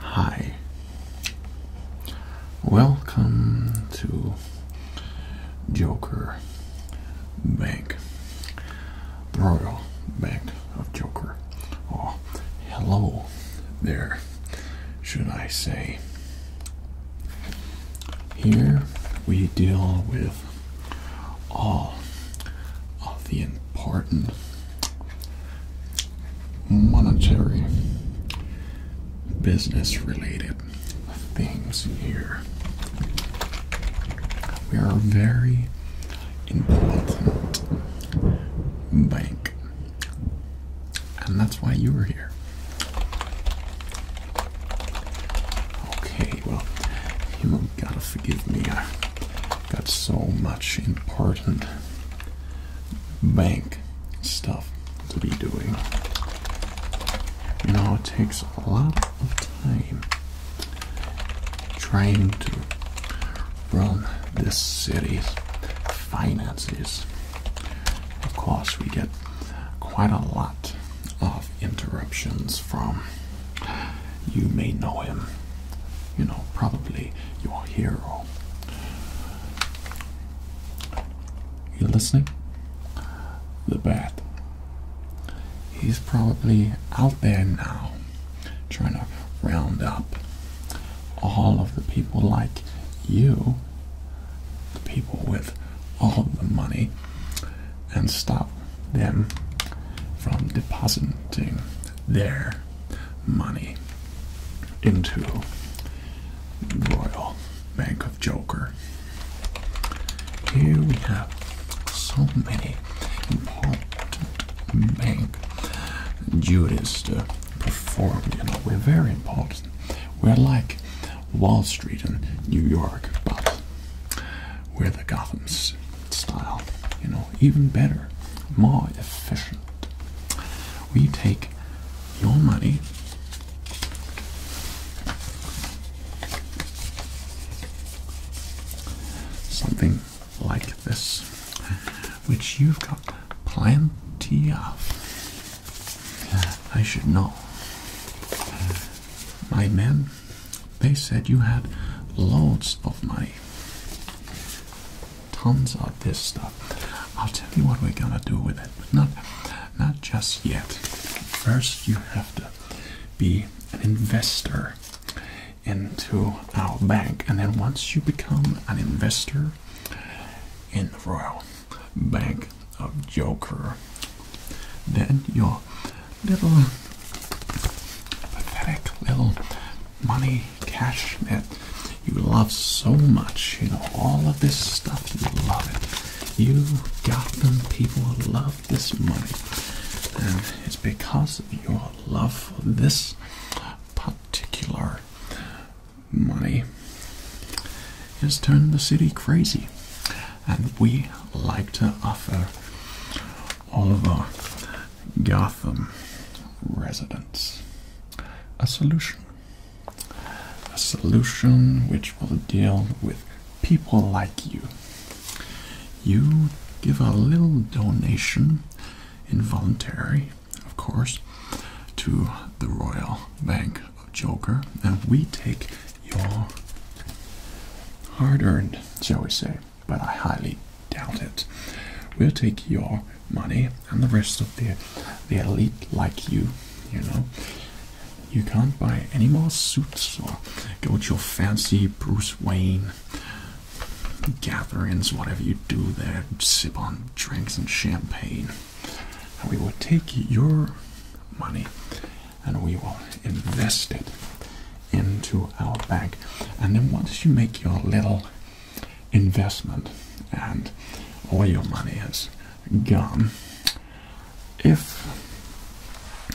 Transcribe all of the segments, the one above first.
Hi. Welcome to Joker Bank, the Royal Bank of Joker. Oh, hello there should I say. Here we deal with all of the important monetary business related things here. We are a very important bank. And that's why you were here. Okay, well, you have gotta forgive me. I got so much important bank stuff to be doing. You know, it takes a lot of time trying to run this city's finances. Of course, we get quite a lot of interruptions from you may know him, you know, probably your hero. You listening? The bath. He's probably out there now trying to round up all of the people like you people with all the money and stop them from depositing their money into the Royal Bank of Joker. Here we have so many important bank duties perform. You know, we're very important. We're like Wall Street in New York, but we're the Gotham style. You know, even better, more efficient. We take your money. Something like this, which you've got plenty of. I should know. Uh, my men, they said you had loads of money. Tons of this stuff. I'll tell you what we're gonna do with it, but not, not just yet. First, you have to be an investor into our bank, and then once you become an investor, in the Royal Bank of Joker. Then your little uh, pathetic little money cash that you love so much. You know, all of this stuff, you love it. You got them. People love this money. And it's because of your love for this particular money has turned the city crazy, and we like to offer all of our Gotham residents a solution. A solution which will deal with people like you. You give a little donation, involuntary, of course, to the Royal Bank of Joker, and we take your hard earned, shall we say, but I highly doubt it. We'll take your money and the rest of the the elite like you, you know. You can't buy any more suits or go to your fancy Bruce Wayne gatherings, whatever you do there, sip on drinks and champagne we will take your money and we will invest it into our bank. And then once you make your little investment and all your money is gone, if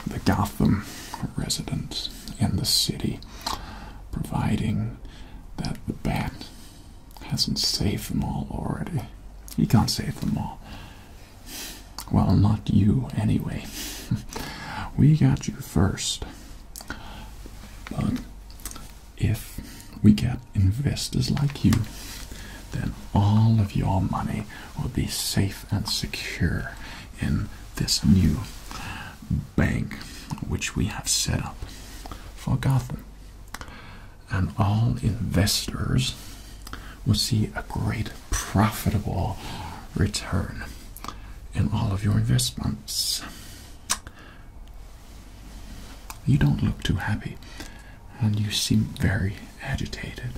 the Gotham residents in the city providing that the bat hasn't saved them all already. He can't save them all. Well, not you, anyway. we got you first. But if we get investors like you, then all of your money will be safe and secure in this new bank which we have set up for Gotham and all investors will see a great profitable return in all of your investments. You don't look too happy and you seem very agitated.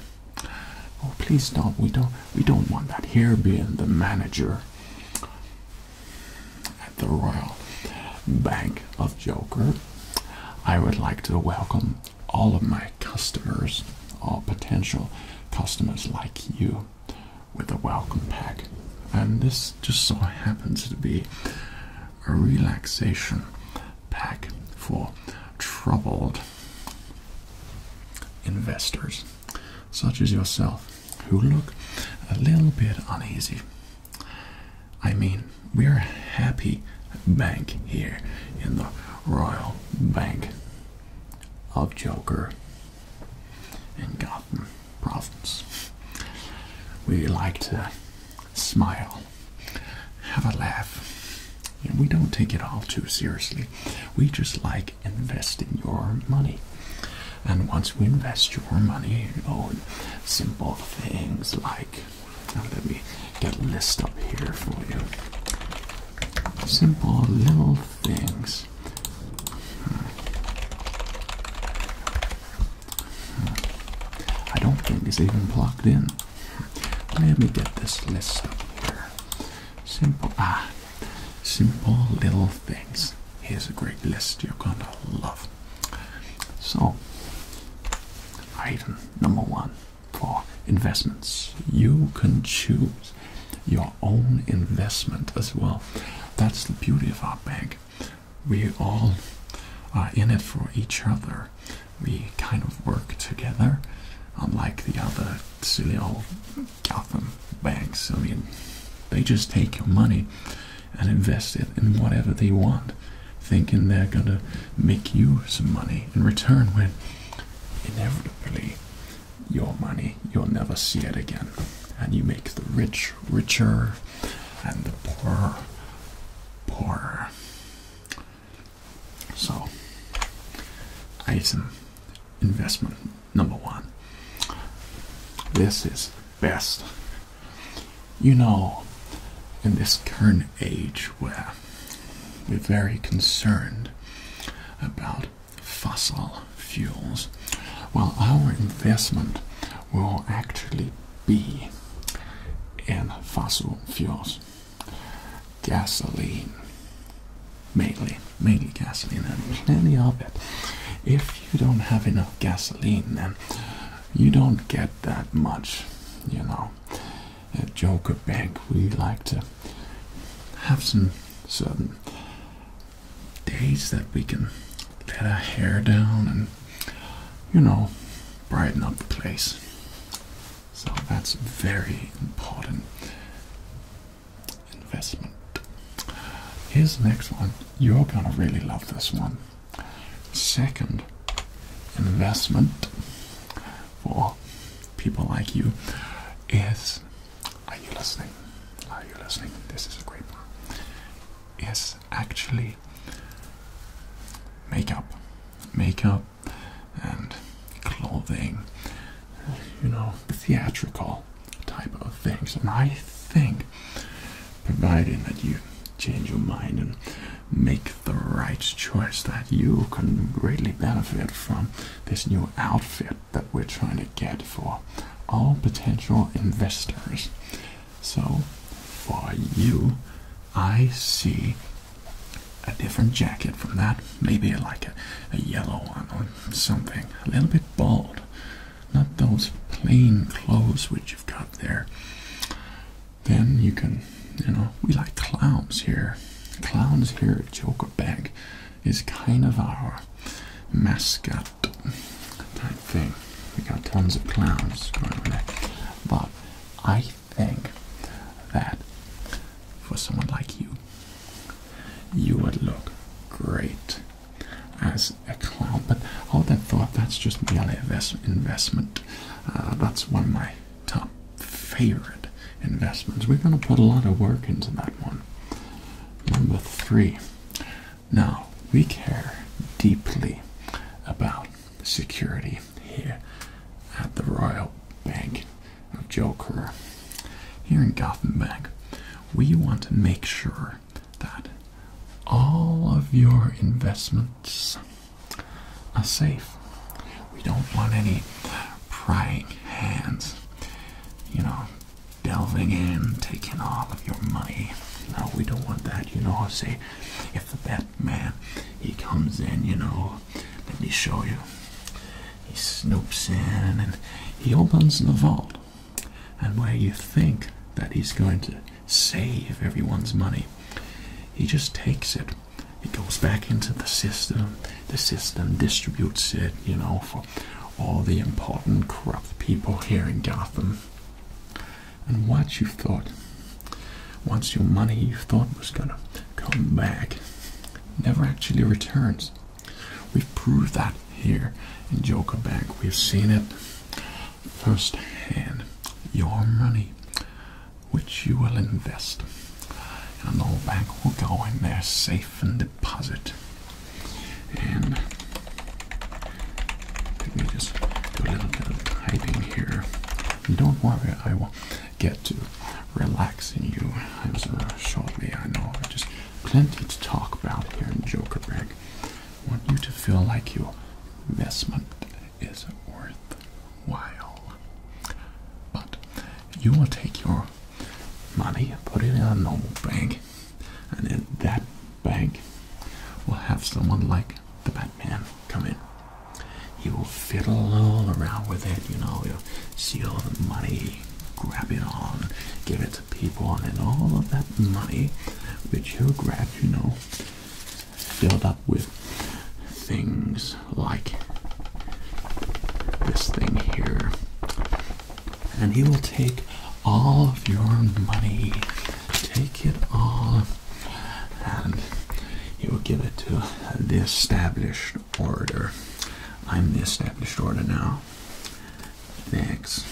Oh please don't we don't we don't want that here being the manager at the Royal Bank of Joker. I would like to welcome all of my customers, all potential customers like you, with a welcome pack. And this just so happens to be a relaxation pack for troubled investors such as yourself who look a little bit uneasy I mean, we're a happy bank here in the Royal Bank of Joker and Gotham Province. We like to smile, have a laugh, and we don't take it all too seriously. We just like investing your money. And once we invest your money on simple things like now let me get a list up here for you. Simple little things. I don't think it's even plugged in. Let me get this list up here. Simple ah, simple little things. Here's a great list you're gonna love. So, item number one for investments you can choose your own investment as well. That's the beauty of our bank. We all are in it for each other. We kind of work together, unlike the other silly old Gotham banks. I mean, they just take your money and invest it in whatever they want, thinking they're gonna make you some money in return when inevitably your money you'll never see it again. And you make the rich richer and the poor poorer. So, item investment number one. This is best you know, in this current age where we're very concerned about fossil fuels, well, our investment will actually be in fossil fuels, gasoline, mainly, mainly gasoline, and plenty of it. If you don't have enough gasoline, then you don't get that much, you know. At Joker Bank, we like to have some certain days that we can let our hair down and, you know, brighten up the place. So that's a very important investment. Here's the next one. You're gonna really love this one. Second, investment for people like you is are you listening? Are you listening? This is a great one. Yes, actually makeup, makeup, and clothing, you know, theatrical type of things. And I think, providing that you change your mind and make the right choice that you can greatly benefit from this new outfit that we're trying to get for all potential investors. So, for you, I see a different jacket from that, maybe like a, yellow one or something, a little bit bold. Not those plain clothes which you've got there. Then you can, you know, we like clowns here. Clowns here at Joker Bag is kind of our mascot type thing. We got tons of clowns going on there. But I think that for someone like you, you would look great as a clown. But hold that thought, that's just merely investment uh, that's one of my top favorite investments. We're going to put a lot of work into that one. Number three. Now, we care deeply about security here at the Royal Bank of Joker. Here in Gotham Bank, we want to make sure that all of your investments are safe. We don't want any prying hands, you know, delving in, taking all of your money. No, we don't want that, you know. I Say, if the bad man he comes in, you know, let me show you. He snoops in and he opens the vault, and where you think that he's going to save everyone's money. He just takes it. It goes back into the system. The system distributes it, you know, for all the important corrupt people here in Gotham. And once you thought, once your money you thought was gonna come back, never actually returns. We've proved that here in Joker Bank. We've seen it first hand your money, which you will invest, and the bank will go in there safe and deposit. And let me just do a little bit of typing here. Don't worry, I will get to relaxing you as uh, shortly. I know just plenty to talk about here in Jokerberg. I Want you to feel like your investment is not worth while, But you will take your money and put it in a normal bank, and in that bank will have someone like the Batman come in. He will fiddle all around with it, you know, he'll see all the money, grab it on, give it to people, and then all of that money which you will grab, you know, filled up with things like this thing here. And he will take all of your money, take it all, and he will give it to the established order. I'm the established order now. Thanks.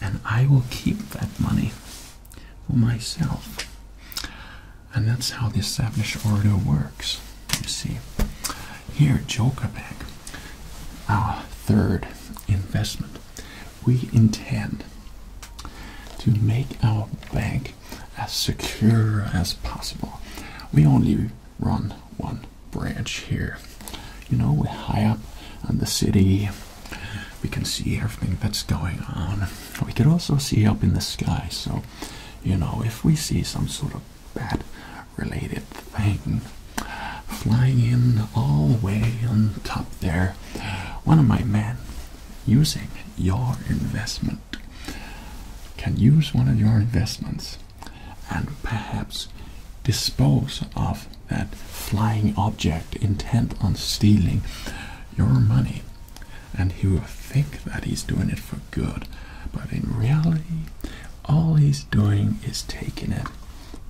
And I will keep that money for myself. And that's how the established order works. You see, here Joker Bank, our third investment, we intend to make our bank as secure as possible. We only run one branch here. You know, we're high up in the city, we can see everything that's going on. We can also see up in the sky, so you know, if we see some sort of bad related thing flying in all the way on top there, one of my men using your investment can use one of your investments and perhaps dispose of that flying object intent on stealing your money and he will think that he's doing it for good. But in reality, all he's doing is taking it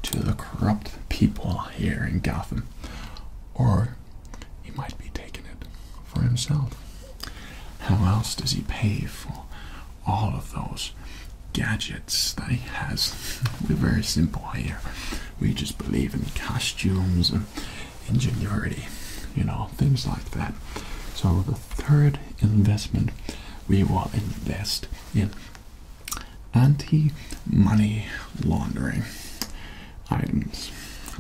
to the corrupt people here in Gotham. Or he might be taking it for himself. How else does he pay for all of those gadgets that he has? We're very simple here we just believe in costumes and ingenuity, you know, things like that. So, the third investment we will invest in anti money laundering items.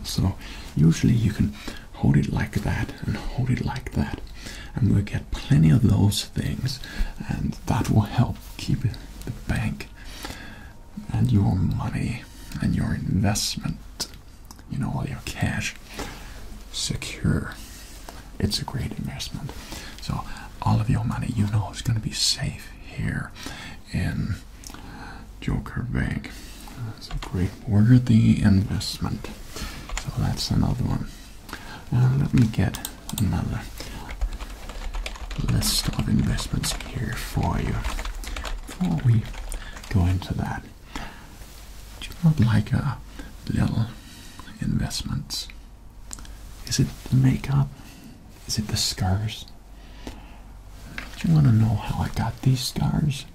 So, usually you can hold it like that and hold it like that, and we'll get plenty of those things, and that will help keep the bank and your money and your investment, you know, all your cash secure. It's a great investment. So, all of your money, you know, is going to be safe here in Joker Bank. It's a great worthy investment. So, that's another one. Uh, let me get another list of investments here for you. Before we go into that, do you not like a little investments? Is it the makeup? Is it the scars? Do you want to know how I got these scars?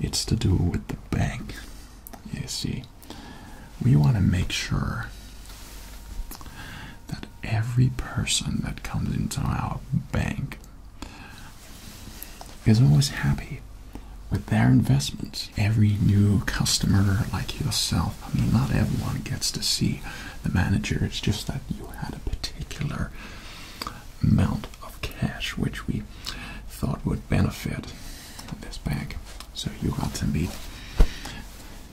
It's to do with the bank. You see, we want to make sure that every person that comes into our bank is always happy with their investments. Every new customer, like yourself, I mean, not everyone gets to see the manager, it's just that you had a particular amount of cash which we thought would benefit this bank. So you got to meet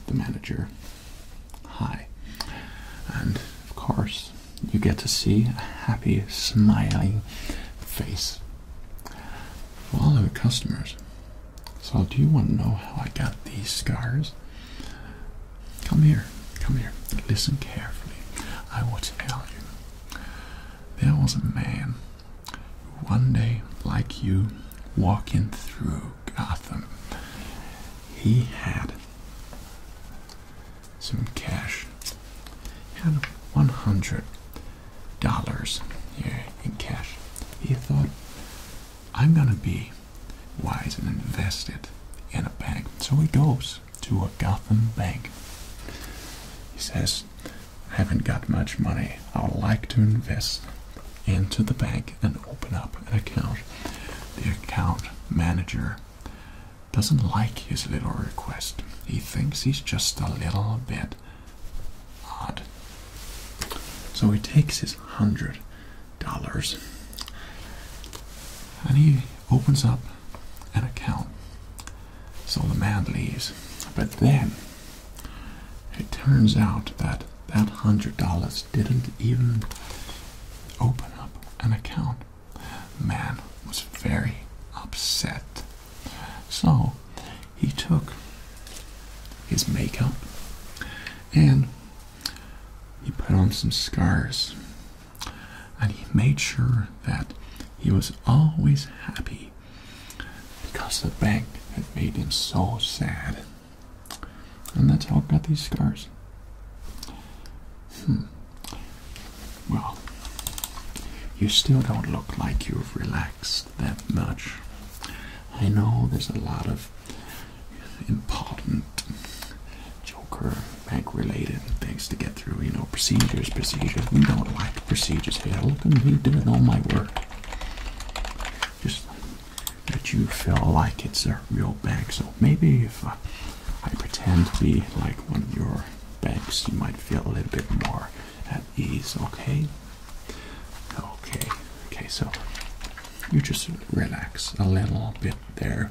the manager Hi. And of course, you get to see a happy, smiling face for all of the customers. So, do you want to know how I got these scars? Come here, come here. Listen carefully. I will tell you. There was a man who one day, like you, walking through Gotham, he had some cash. He had one hundred dollars here in cash. He thought, I'm gonna be wise and invest it in a bank. So he goes to a Gotham bank. He says, I haven't got much money. I would like to invest into the bank and open up an account the account manager doesn't like his little request. He thinks he's just a little bit odd. So he takes his hundred dollars and he opens up an account. So the man leaves. But then it turns out that that hundred dollars didn't even open up an account. Man was very upset. So he took his makeup and he put on some scars and he made sure that he was always happy because the bank had made him so sad. And that's how i got these scars. Hmm. Well, you still don't look like you've relaxed that much. I know there's a lot of important joker bank related things to get through. You know, procedures, procedures. We don't like procedures. here. look at me doing all my work. Just that you feel like it's a real bag. So maybe if uh, I, pretend to be like one of your bags, you might feel a little bit more at ease, okay? Okay, okay, so you just relax a little bit there.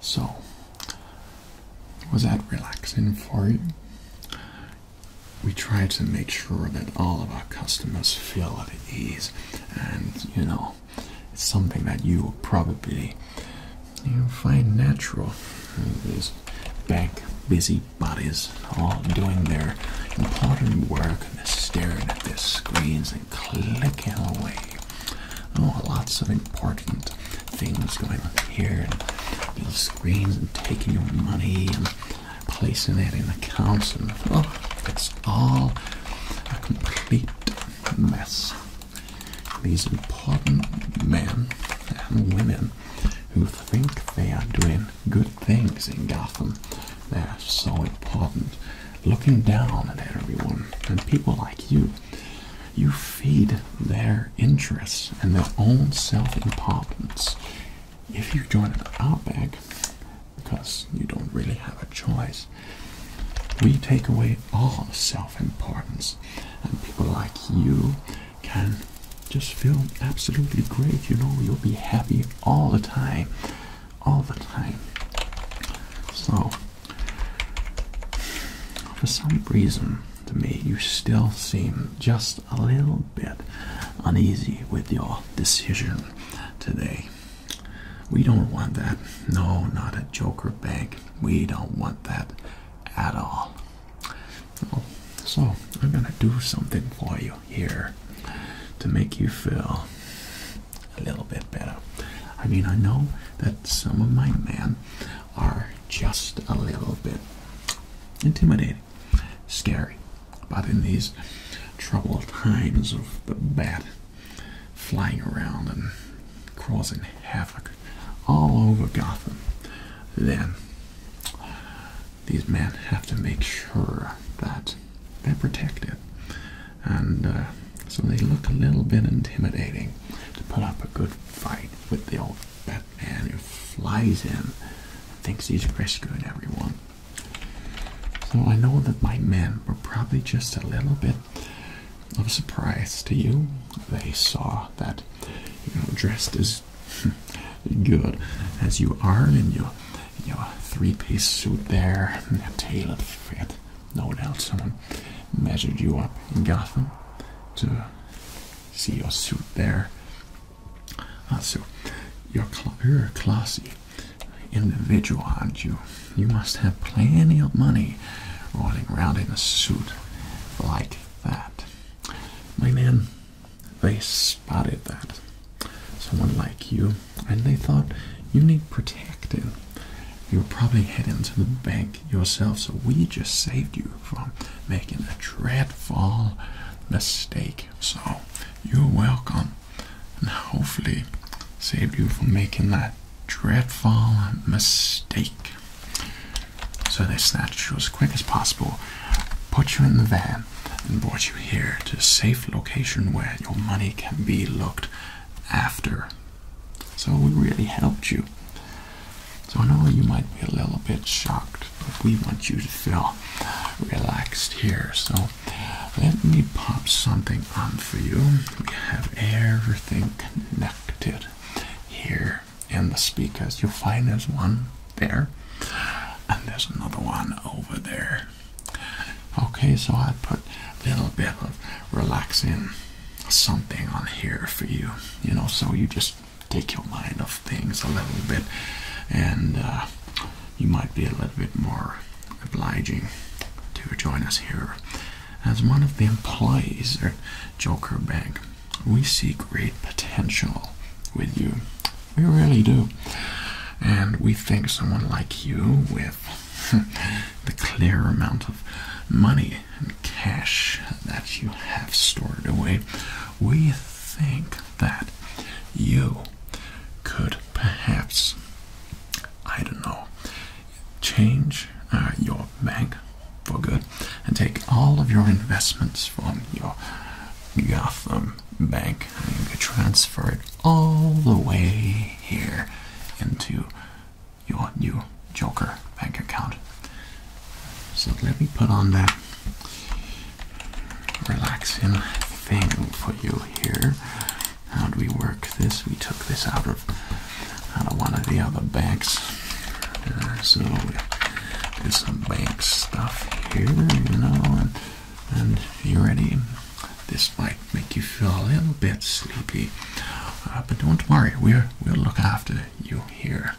So, was that relaxing for you? we try to make sure that all of our customers feel at ease and you know it's something that you will probably find natural these bank busy bodies all doing their important work and they're staring at their screens and clicking away oh lots of important things going on here and screens and taking your money and placing it in accounts and oh, it's all a complete mess. These important men and women who think they are doing good things in Gotham, they're so important. Looking down at everyone and people like you, you feed their interests and their own self importance if you join an Outback, because you don't really have a choice, we take away all self-importance, and people like you can just feel absolutely great. You know, you'll be happy all the time, all the time. So, for some reason, to me, you still seem just a little bit uneasy with your decision today. We don't want that. No, not a joker bank. We don't want that at all. Oh, so, I'm gonna do something for you here to make you feel a little bit better. I mean, I know that some of my men are just a little bit intimidated scary. But in these troubled times of the bat flying around and causing havoc all over Gotham, then these men have to make sure that they're protected. And uh, so they look a little bit intimidating to put up a good fight with the old Batman who flies in, thinks he's rescuing everyone. So I know that my men were probably just a little bit of surprise to you. They saw that you know dressed as good as you are in your you three-piece suit there, and a tailored fit. No doubt someone measured you up in Gotham to see your suit there Ah, so you're, a classy individual, aren't you? You must have plenty of money rolling around in a suit like that. My man, they spotted that. Someone like you, and they thought you need protecting. You were probably heading to the bank yourself, so we just saved you from making a dreadful mistake. So you're welcome, and hopefully saved you from making that dreadful mistake. So they snatched you as quick as possible, put you in the van, and brought you here to a safe location where your money can be looked after. So we really helped you. So I know you might be a little bit shocked but we want you to feel relaxed here. So let me pop something on for you. We have everything connected here in the speakers. You'll find there's one there, and there's another one over there. Okay, so I put a little bit of relaxing something on here for you, you know, so you just take your mind off things a little bit, and uh, you might be a little bit more obliging to join us here. As one of the employees at Joker Bank, we see great potential with you. We really do. And we think someone like you, with the clear amount of money and cash that you have stored away, we think that you could perhaps, I don't know, change uh, your bank for good and take all of your investments from your Gotham bank and transfer it all the way here into your new Joker bank account. So let me put on that relaxing thing for you here. How do we work this? We took this out of out of one of the other banks, uh, so we some bank stuff here, you know, and, and you ready? This might make you feel a little bit sleepy, uh, but don't worry, we're, we'll look after you here.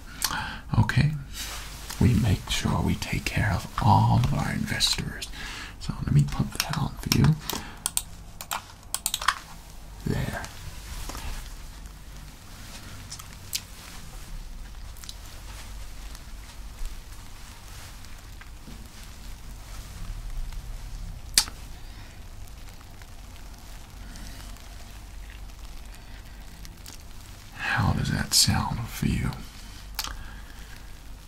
Okay? We make sure we take care of all of our investors. So let me put that on for you. There. How does that sound for you?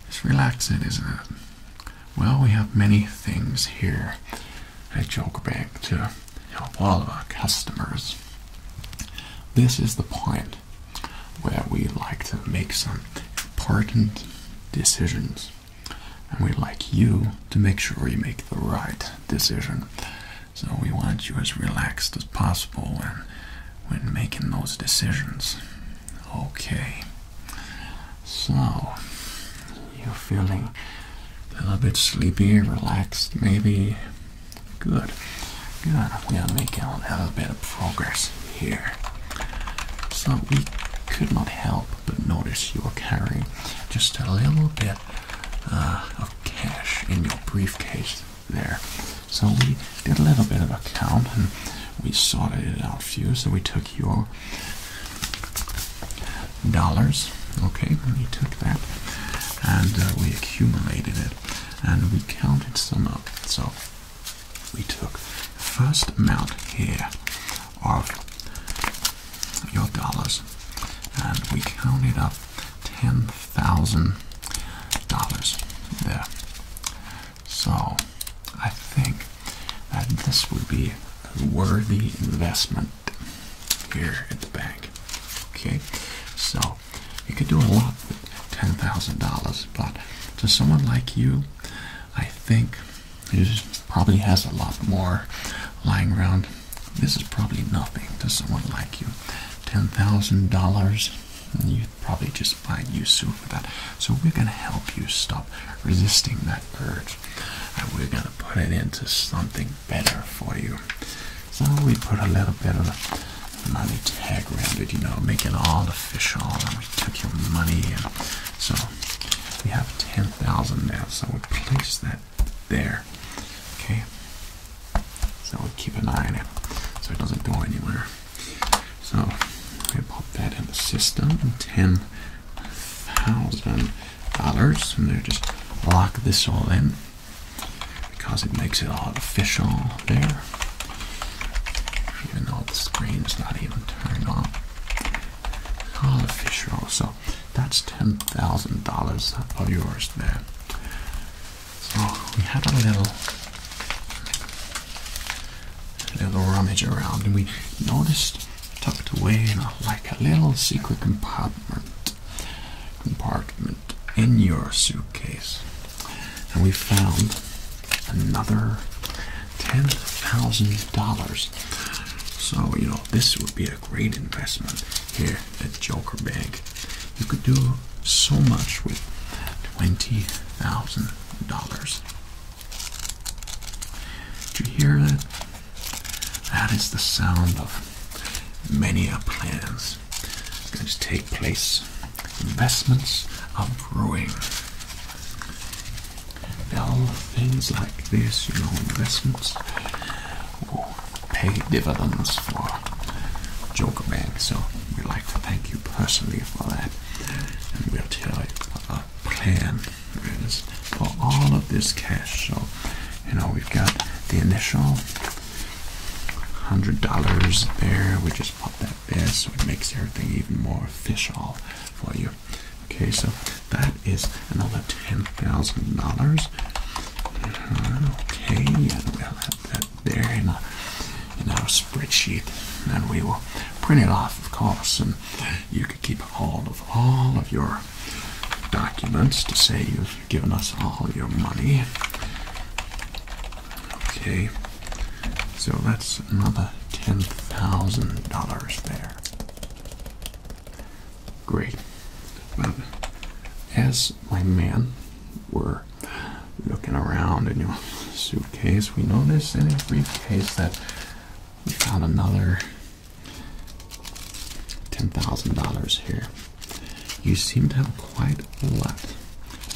It's relaxing, isn't it? Well, we have many things here at Joker back to help all of our customers. This is the point where we like to make some important decisions. And we like you to make sure you make the right decision. So we want you as relaxed as possible and when making those decisions. Okay, so you're feeling a little bit sleepy, relaxed, maybe. Good, good. We are making a little bit of progress here. So we could not help but notice you are carrying just a little bit uh, of cash in your briefcase there. So we did a little bit of a count and we sorted it out for you. So we took your dollars, okay, we took that and uh, we accumulated it and we counted some up. So we took first amount here of your dollars and we counted up ten thousand dollars there. So I think that this would be a worthy investment here at the bank. Okay, so you could do a lot with ten thousand dollars, but to someone like you, I think who probably has a lot more lying around, this is probably nothing to someone like you. Ten thousand dollars you probably just find you soon for that. So we're gonna help you stop resisting that urge, and we're gonna put it into something better for you. So we put a little bit of money tag around it, you know, make it all official, and we took your money, in, so we have ten thousand now. So we place that there. Okay, so we'll keep an eye on it so it doesn't go anywhere. So we pop that in the system, ten thousand dollars, and they just lock this all in because it makes it all official there. Even though the screen is not even turned on. All official. So that's ten thousand dollars of yours there. So we had a little little rummage around and we noticed tucked away in a, like a little secret compartment compartment in your suitcase. And we found another ten thousand dollars. So, you know, this would be a great investment here at Joker Bank. You could do so much with $20,000. Do you hear that? That is the sound of many a plans going to take place. Investments are brewing. Now, things like this, you know, investments will pay dividends for Joker Bank, so we'd like to thank you personally for that, and we'll tell you what our plan is for all of this cash. So, you know, we've got the initial hundred dollars there. We just put that there, so it makes everything even more official for you. Okay, so that is another ten thousand dollars. Uh-huh, okay, and we'll have that there in, a, our spreadsheet, and we will print it off, of course, and you can keep hold of all of your documents to say you've given us all your money. Okay, so that's another $10,000 there. Great. Well, as my man were looking around in your suitcase, we notice in your briefcase that we found another $10,000 here. You seem to have quite a lot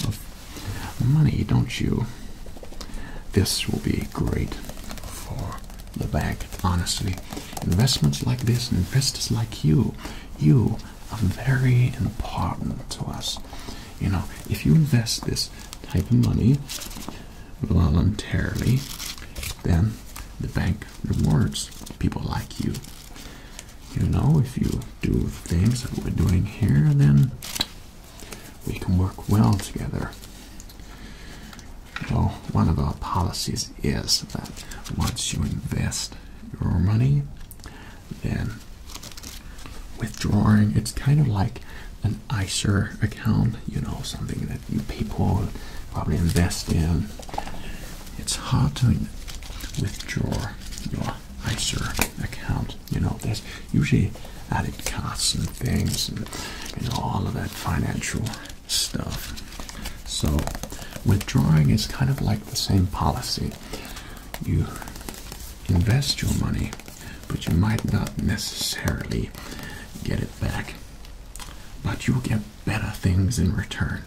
of money, don't you? This will be great for the bank, honestly. Investments like this and investors like you, you are very important to us. You know, if you invest this type of money voluntarily, then the bank rewards people like you. You know, if you do things that we're doing here, then we can work well together. Well, one of our policies is that once you invest your money, than withdrawing. It's kind of like an ICER account, you know, something that you people probably invest in. It's hard to withdraw your ICER account, you know, there's usually added costs and things and you know all of that financial stuff. So withdrawing is kind of like the same policy. You invest your money, but you might not necessarily get it back. But you'll get better things in return.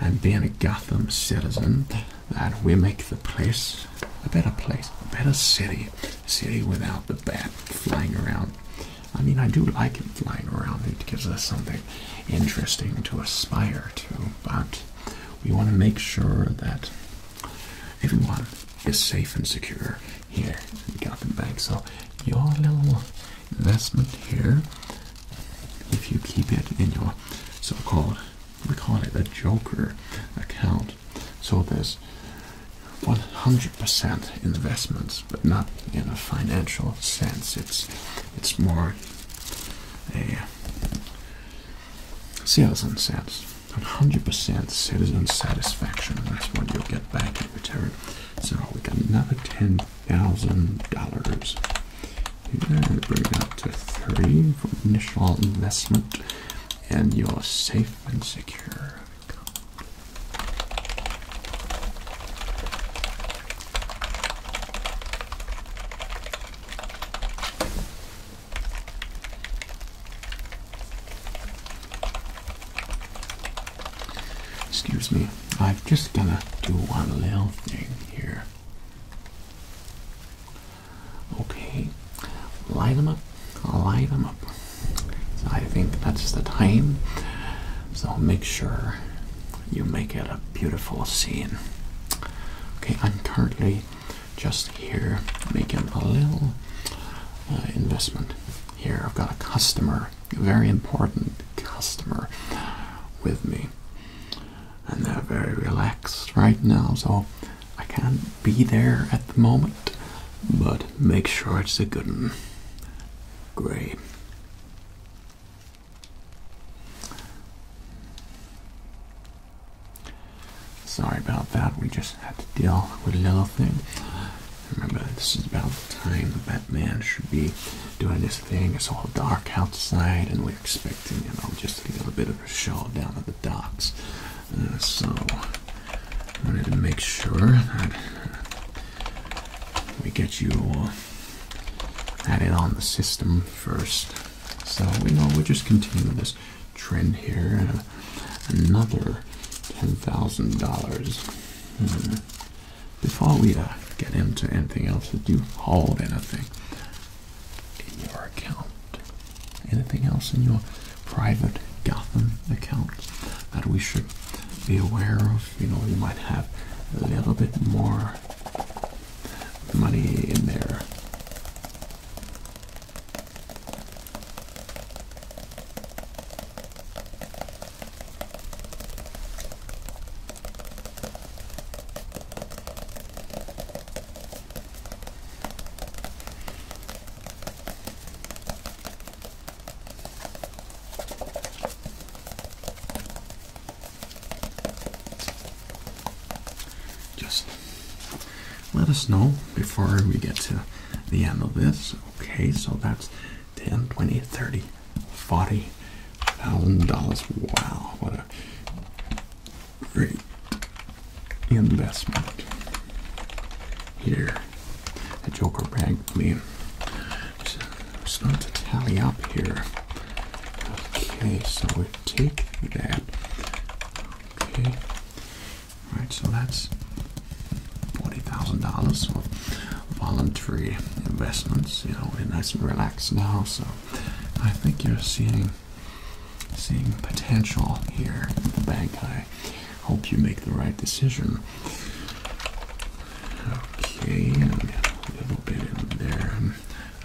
And being a Gotham citizen, that we make the place a better place, a better city, a city without the bat flying around. I mean, I do like it flying around. It gives us something interesting to aspire to, but we want to make sure that everyone is safe and secure here in Gotham Bank. So your little investment here, if you keep it in your so-called, we call it a joker account. So there's 100% investments, but not in a financial sense. It's it's more Citizen sets. 100% citizen satisfaction. That's what you'll get back in return. So we got another $10,000. bring it up to three for initial investment, and you're safe and secure. Excuse me, I'm just gonna do one little thing here. Okay, light them up, light them up. I think that's the time. So make sure you make it a beautiful scene. Okay, I'm currently just here, making a little uh, investment. Here, I've got a customer, a very important customer with me, and they're very relaxed right now, so I can't be there at the moment, but make sure it's a good one. Great. Sorry about that. We just had to deal with a little thing. Remember, this is about the time the Batman should be doing his thing. It's all dark outside, and we're expecting, you know, just a little bit of a show down at the docks. Uh, so, I wanted to make sure that uh, we get you added on the system first. So we know we'll just continue this trend here and another $10,000. Hmm. Before we uh, get into anything else, did you hold anything in your account? Anything else in your private Gotham account that we should be aware of? You know, you might have a little bit more money in there. Just let us know before we get to the end of this. Okay, so that's 10, 20, 30, 40 thousand dollars. Wow, what a great investment here. The Joker Bagley. Me just not to tally up here. Okay, so we take that. Okay. All right. so that's $40,000 of voluntary investments. You know, we're nice and relaxed now, so I think you're seeing seeing potential here in the bank. I hope you make the right decision. Okay, and a little bit in there.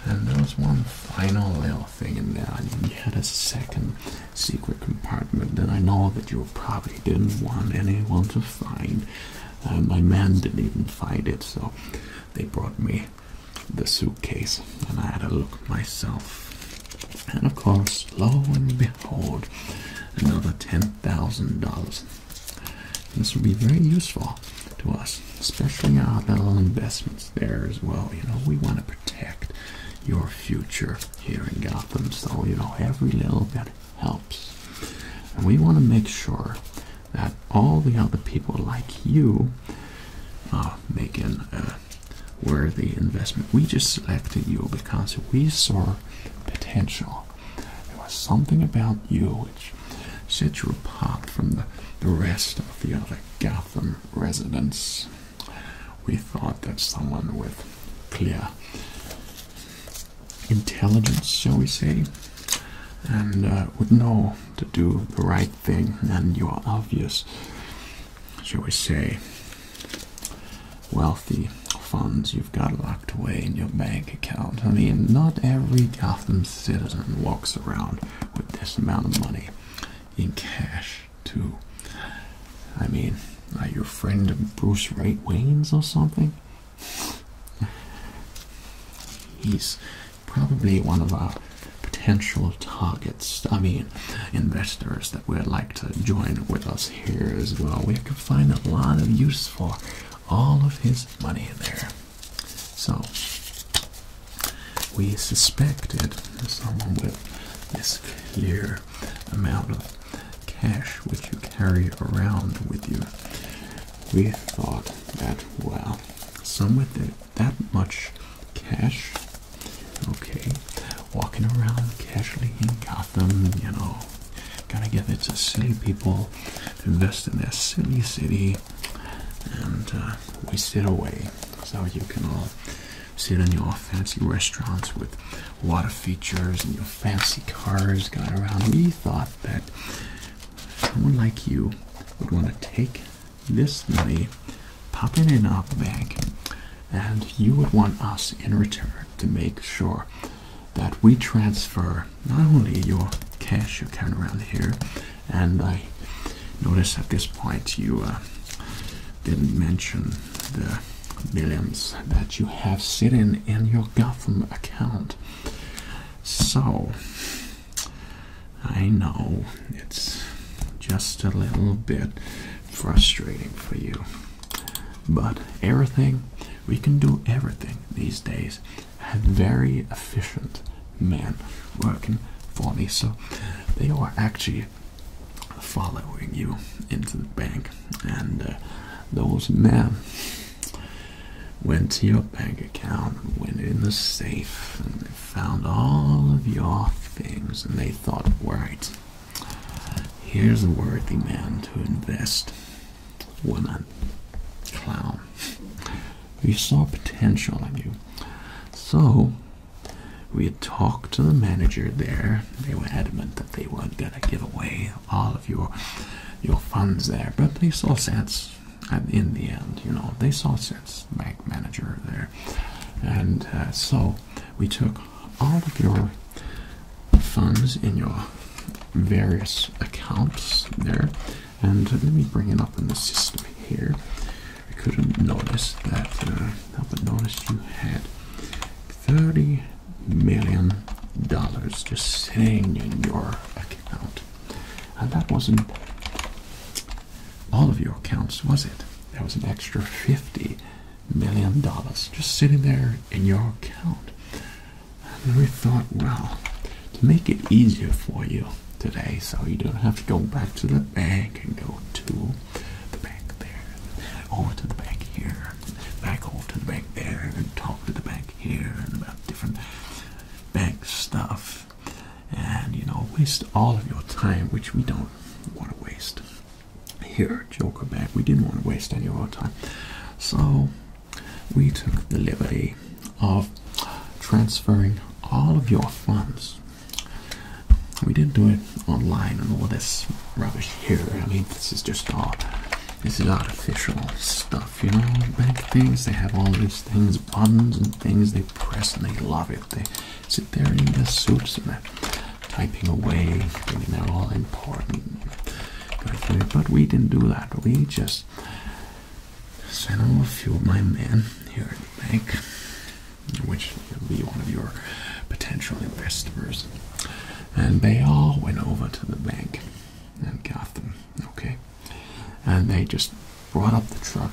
And there's one final little Thing in there. I had a second secret compartment that I know that you probably didn't want anyone to find. and uh, my man didn't even find it, so they brought me the suitcase and I had a look myself. And of course, lo and behold, another $10,000. This will be very useful to us, especially our little investments there as well. You know, we want to protect your future here in Gotham, so you know, every little bit helps. And we want to make sure that all the other people like you are making a worthy investment. We just selected you because we saw potential. There was something about you which set you apart from the, the rest of the other Gotham residents. We thought that someone with clear intelligence, shall we say, and uh, would know to do the right thing, and you are obvious, shall we say, wealthy funds you've got locked away in your bank account. I mean, not every Gotham citizen walks around with this amount of money in cash too. I mean, your friend Bruce Wright Wayne's or something. He's probably one of our potential targets. I mean, investors that would like to join with us here as well. We could find a lot of use for all of his money there. So, we suspected someone with this clear amount of cash which you carry around with you. We thought that, well, someone with that much cash, okay, walking around casually in Gotham, you know, gotta get it to silly people invest in their silly city, and uh, we away. So you can all uh, sit in your fancy restaurants with a lot of features and your fancy cars going around. We thought that someone like you would want to take this money, pop it in our bank, and you would want us in return to make sure that we transfer not only your cash you're around here, and I noticed at this point you uh, didn't mention the millions that you have sitting in your Gotham account. So, I know it's just a little bit frustrating for you. But everything, we can do everything these days at very efficient Man, working for me. So they were actually following you into the bank, and uh, those men went to your bank account, went in the safe, and they found all of your things, and they thought, right, here's a worthy man to invest. Woman, clown. We saw potential in you. So we had talked to the manager there. They were adamant that they weren't gonna give away all of your your funds there, but they saw sense. And in the end, you know, they saw sense. Bank manager there, and uh, so we took all of your funds in your various accounts there, and let me bring it up in the system here. I couldn't notice that. I uh, but noticed you had thirty million dollars just sitting in your account, and that wasn't all of your accounts, was it? There was an extra fifty million dollars just sitting there in your account. And we thought, well, to make it easier for you, today, so you don't have to go back to the bank and go to the bank there, over to the bank here, back over to the bank there, and talk to the bank here, and about different bank stuff, and you know, waste all of your time, which we don't want to waste here at Joker Bank. We didn't want to waste any of our time, so we took the liberty of transferring all of your funds we didn't do it online and all this rubbish here. I mean, this is just all this is artificial stuff, you know. Bank things they have all these things, buttons and things they press, and they love it. They sit there in their suits and they're typing away, I mean, they're all important. But we didn't do that. We just sent off a few of my men here at the bank which will be one of your potential investors. And they all went over to the bank and got them, okay? And they just brought up the truck,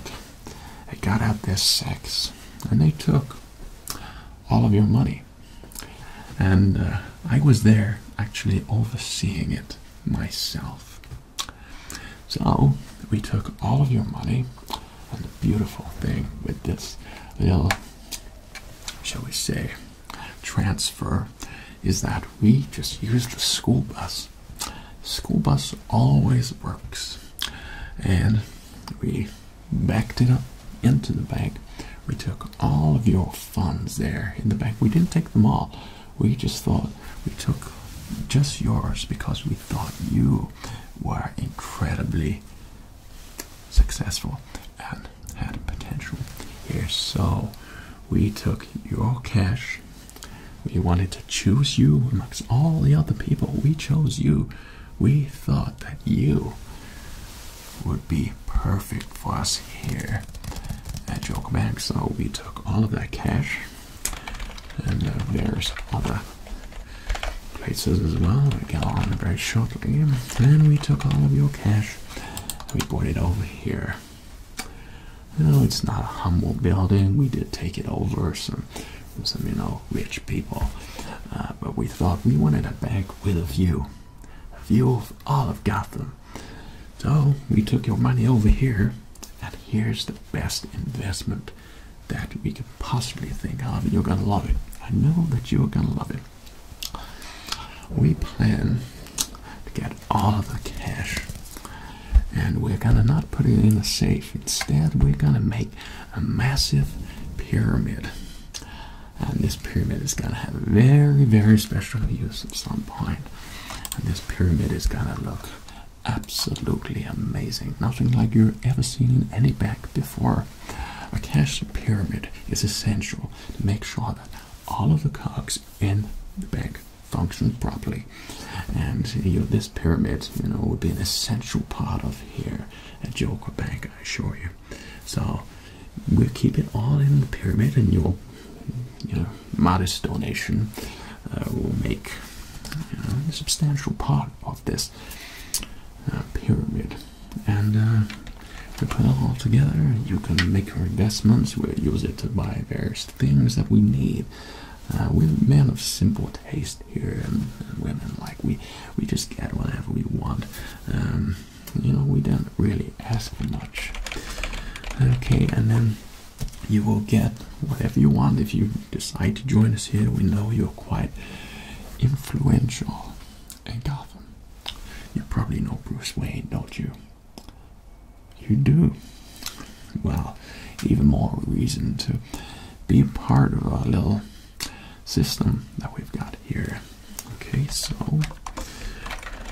they got out their sacks, and they took all of your money. And uh, I was there actually overseeing it myself. So we took all of your money, and the beautiful thing with this little, shall we say, transfer is that we just used the school bus. School bus always works, and we backed it up into the bank. We took all of your funds there in the bank. We didn't take them all. We just thought we took just yours because we thought you were incredibly successful and had potential here. So we took your cash. We wanted to choose you amongst all the other people. We chose you. We thought that you would be perfect for us here at Joke Bank. So we took all of that cash and uh, there's other places as well. We get on very shortly, and we took all of your cash. We brought it over here. No, it's not a humble building. We did take it over some, some you know, rich people, uh, but we thought we wanted a bank with a view, a view of all of Gotham. So we took your money over here, and here's the best investment that we could possibly think of. You're gonna love it. I know that you're gonna love it. We plan to get all of the cash and we're gonna not put it in a safe. Instead, we're gonna make a massive pyramid. And this pyramid is gonna have very, very special use at some point. And this pyramid is gonna look Absolutely amazing. Nothing like you've ever seen in any bank before. A cash pyramid is essential to make sure that all of the cogs in the bank function properly. And you know, this pyramid, you know, would be an essential part of here at Joker Bank, I assure you. So we'll keep it all in the pyramid and your you know modest donation uh, will make a substantial part of this uh, pyramid. And uh, we put it all together. You can make your investments. We will use it to buy various things that we need. Uh, we're men of simple taste here, and, women like we we just get whatever we want. Um, you know, we don't really ask for much. Okay, and then you will get whatever you want if you decide to join us here. We know you're quite influential in You probably know Bruce Wayne, don't you? You do. Well, even more reason to be part of our little system that we've got here. Okay, so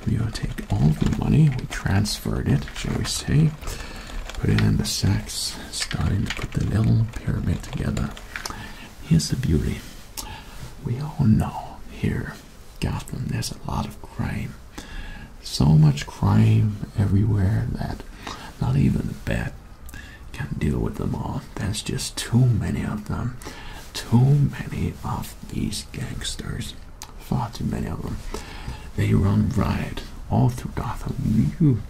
we'll take all the money, we transferred it, shall we say, putting in the sacks, starting to put the little pyramid together. Here's the beauty. We all know here, Gotham, there's a lot of crime. So much crime everywhere that not even the bat can deal with them all. There's just too many of them. Too many of these gangsters. Far too many of them. They run riot all through Gotham. You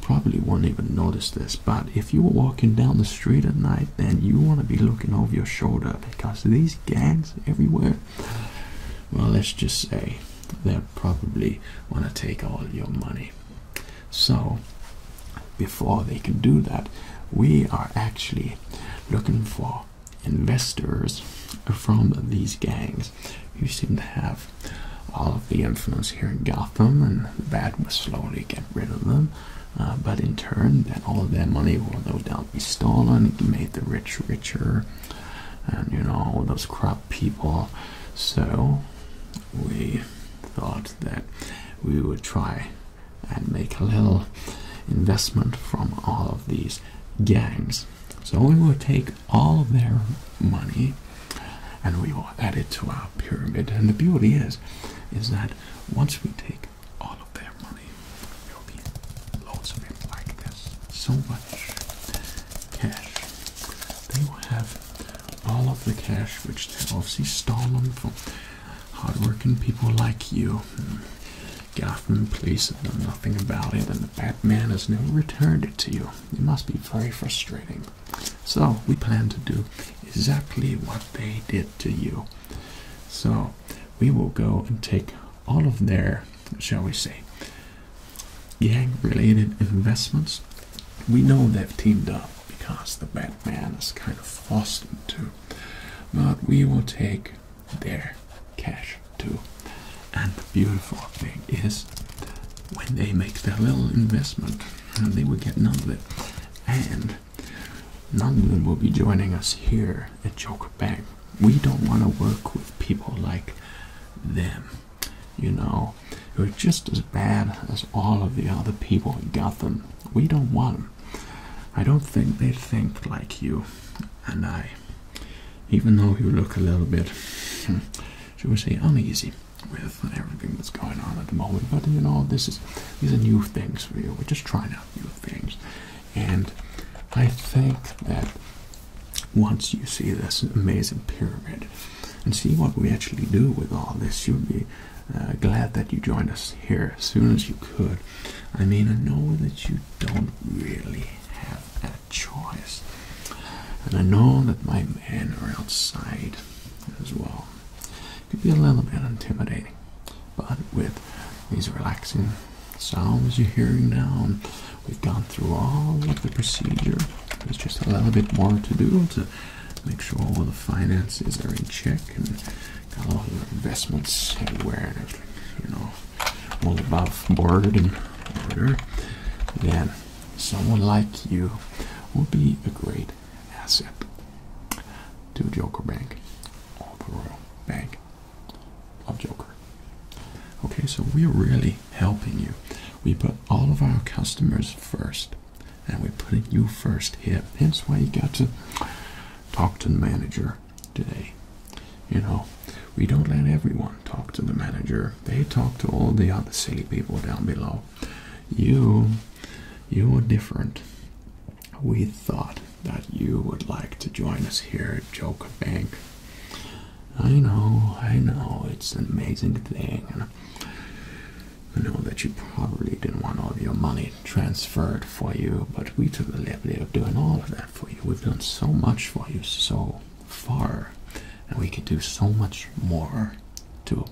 probably won't even notice this, but if you were walking down the street at night, then you want to be looking over your shoulder because these gangs everywhere, well, let's just say they'll probably want to take all your money. So, before they can do that, we are actually looking for investors from these gangs you seem to have all of the influence here in Gotham, and the bad will slowly get rid of them. Uh, but in turn, that all of their money will no doubt be stolen, and make the rich richer, and you know, all those corrupt people. So, we thought that we would try and make a little investment from all of these gangs so we will take all of their money and we will add it to our pyramid. And the beauty is, is that once we take all of their money, there will be loads of it like this. So much cash. They will have all of the cash which they've obviously stolen from hardworking people like you. Gotham police have done nothing about it, and the Batman has never returned it to you it must be very frustrating. So, we plan to do exactly what they did to you. So, we will go and take all of their, shall we say, gang related investments. We know they've teamed up because the Batman is kind of forced them but we will take their cash too. And the beautiful thing is, when they make their little investment, uh, they will get none of it. And none of them will be joining us here at Joker Bank. We don't want to work with people like them, you know, who are just as bad as all of the other people in Gotham. We don't want them. I don't think they think like you and I, even though you look a little bit hmm, should we say, uneasy with everything that's going on at the moment. But you know, this is these are new things for you. We're just trying out new things, and I think that once you see this amazing pyramid and see what we actually do with all this, you'll be uh, glad that you joined us here as soon as you could. I mean, I know that you don't really have choice. And I know that my men are outside as well. It could be a little bit intimidating, but with these relaxing sounds you're hearing now, we've gone through all of the procedure. There's just a little bit more to do to make sure all the finances are in check and all the investments are where you know, all above board and order. Again, Someone like you would be a great asset to Joker Bank or the Bank of Joker. Okay, so we're really helping you. We put all of our customers first, and we're putting you first here. Hence why you got to talk to the manager today. You know, we don't let everyone talk to the manager they talk to all the other silly people down below. You, you are different. We thought that you would like to join us here at Joker Bank. I know, I know, it's an amazing thing. I know that you probably didn't want all of your money transferred for you, but we took the liberty of doing all of that for you. We've done so much for you, so far, and we could do so much more too.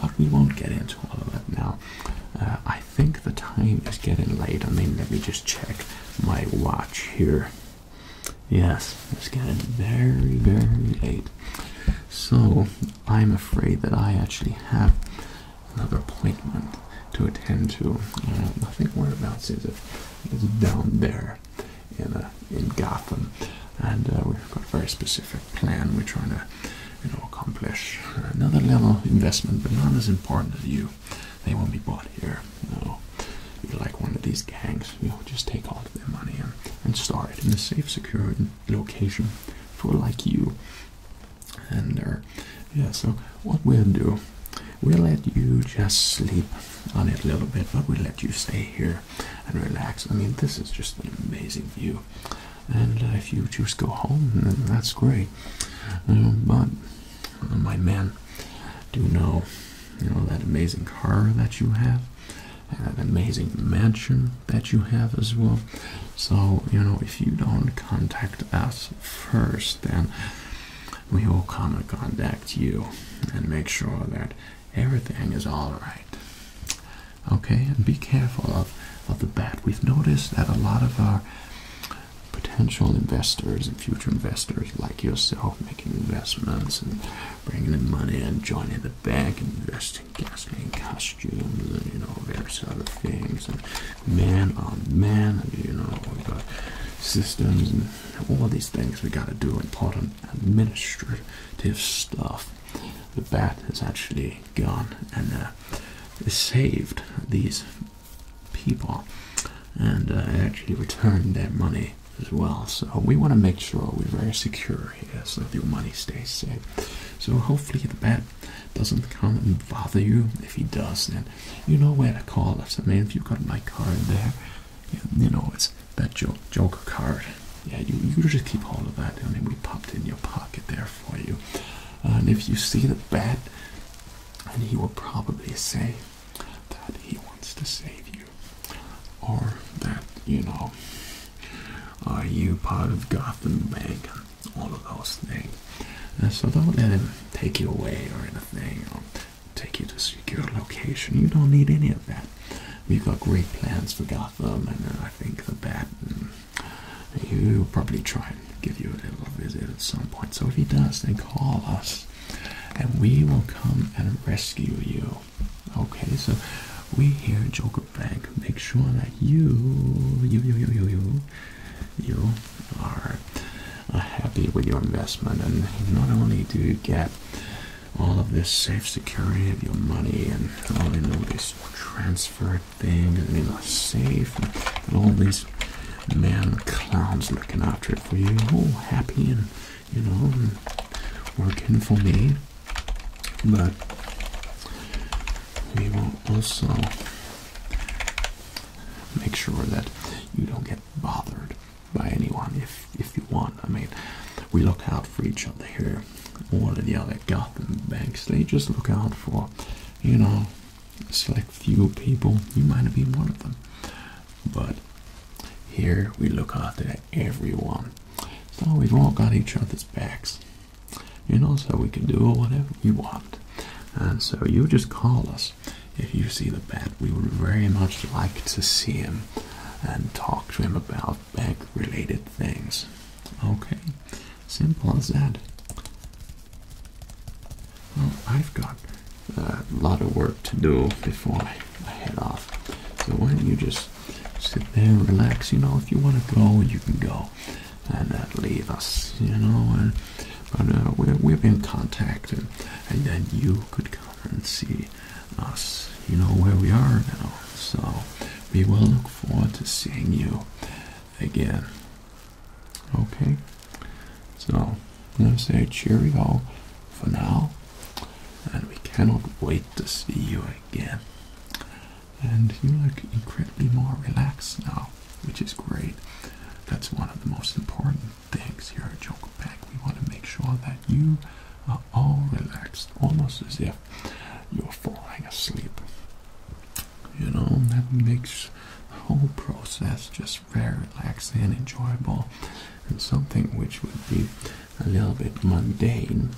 But we won't get into all of it now. Uh, I think the time is getting late. I mean, let me just check my watch here. Yes, it's getting very, very late. So, I'm afraid that I actually have another appointment to attend to. Uh, I think whereabouts is it? down there in, uh, in Gotham. And uh, we've got a very specific plan we're trying to you know, accomplish. Another little investment, but not as important as you. They won't be bought here. No. You're like one of these gangs. You'll just take all of their money and, and store it in a safe, secure location for like you. And uh, yeah, so what we'll do, we'll let you just sleep on it a little bit, but we'll let you stay here and relax. I mean, this is just an amazing view. And uh, if you just go home, that's great. but my men do know, you know that amazing car that you have, and that amazing mansion that you have as well. So you know, if you don't contact us first, then we will come and contact you and make sure that everything is all right. Okay, and be careful of, of the bat. We've noticed that a lot of our potential investors and future investors like yourself making investments and bringing in money and joining the bank and investing gasoline costumes and you know various other things and man on oh, man you know we've got systems and all these things we got to do and part of administrative stuff. The bat has actually gone and uh, saved these people and uh, actually returned their money as well. So we want to make sure we're very secure here so that your money stays safe. So hopefully the bat doesn't come and bother you. If he does, then you know where to call us. I mean, if you've got my card there, you know it's that joke, card. Yeah, you, you just keep hold of that. I mean, we popped in your pocket there for you. and if you see the bat, and he will probably say that he wants to save you, or that you know, are you part of Gotham Bank? All of those things. so don't let him take you away or anything. Or take you to a secure location. You don't need any of that. We've got great plans for Gotham, and uh, I think the Bat. He'll probably try and give you a little visit at some point. So if he does, then call us, and we will come and rescue you. Okay, so we here at Joker Bank make sure that you, you, you, you, you, you are uh, happy with your investment, and not only do you get all of this safe security of your money and all you these transfer things and you know safe and all these man clowns looking after it for you all happy and you know and working for me but we will also make sure that you don't get bothered by anyone if if you want. I mean, we look out for each other here. All of the other Gotham banks, they just look out for, you know, select few people. You might have been one of them, but here we look out for everyone. So we've all got each other's backs, you know. So we can do whatever we want, and so you just call us if you see the bat. We would very much like to see him and talk to him about of bank related things. Okay, simple as that. Well, I've got a lot of work to do before I head off. So why don't you just sit there, relax? You know, if you want to go, you can go, and uh, leave us. You know, but uh, we have been contacted, and then you could come and see us. You know where we are now. So we will look forward to seeing you again. Okay? So let's going to say cheerio for now. And we cannot wait to see you again. And you look incredibly more relaxed now, which is great. That's one of the most important things here at Joker Pack. We want to make sure that you are all relaxed, almost as if you're falling asleep. You know, that makes the whole process just very relaxing and enjoyable, and something which would be a little bit mundane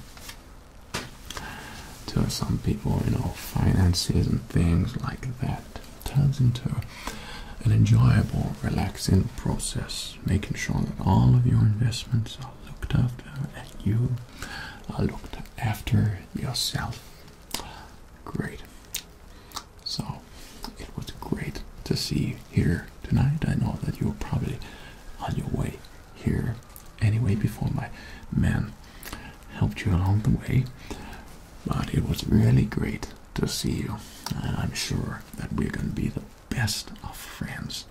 to some people, you know, finances and things like that turns into an enjoyable, relaxing process, making sure that all of your investments looked after and you I uh, looked after yourself. Great. So it was great to see you here tonight. I know that you were probably on your way here anyway before my man helped you along the way. But it was really great to see you, and I'm sure that we're going to be the best of friends.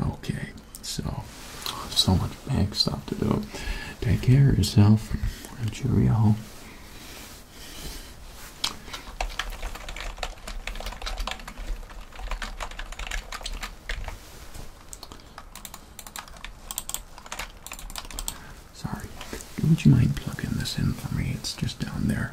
Okay, so so much bank stuff to do. Take care of yourself. Cheerio. Sorry, would you mind plugging this in for me? It's just down there.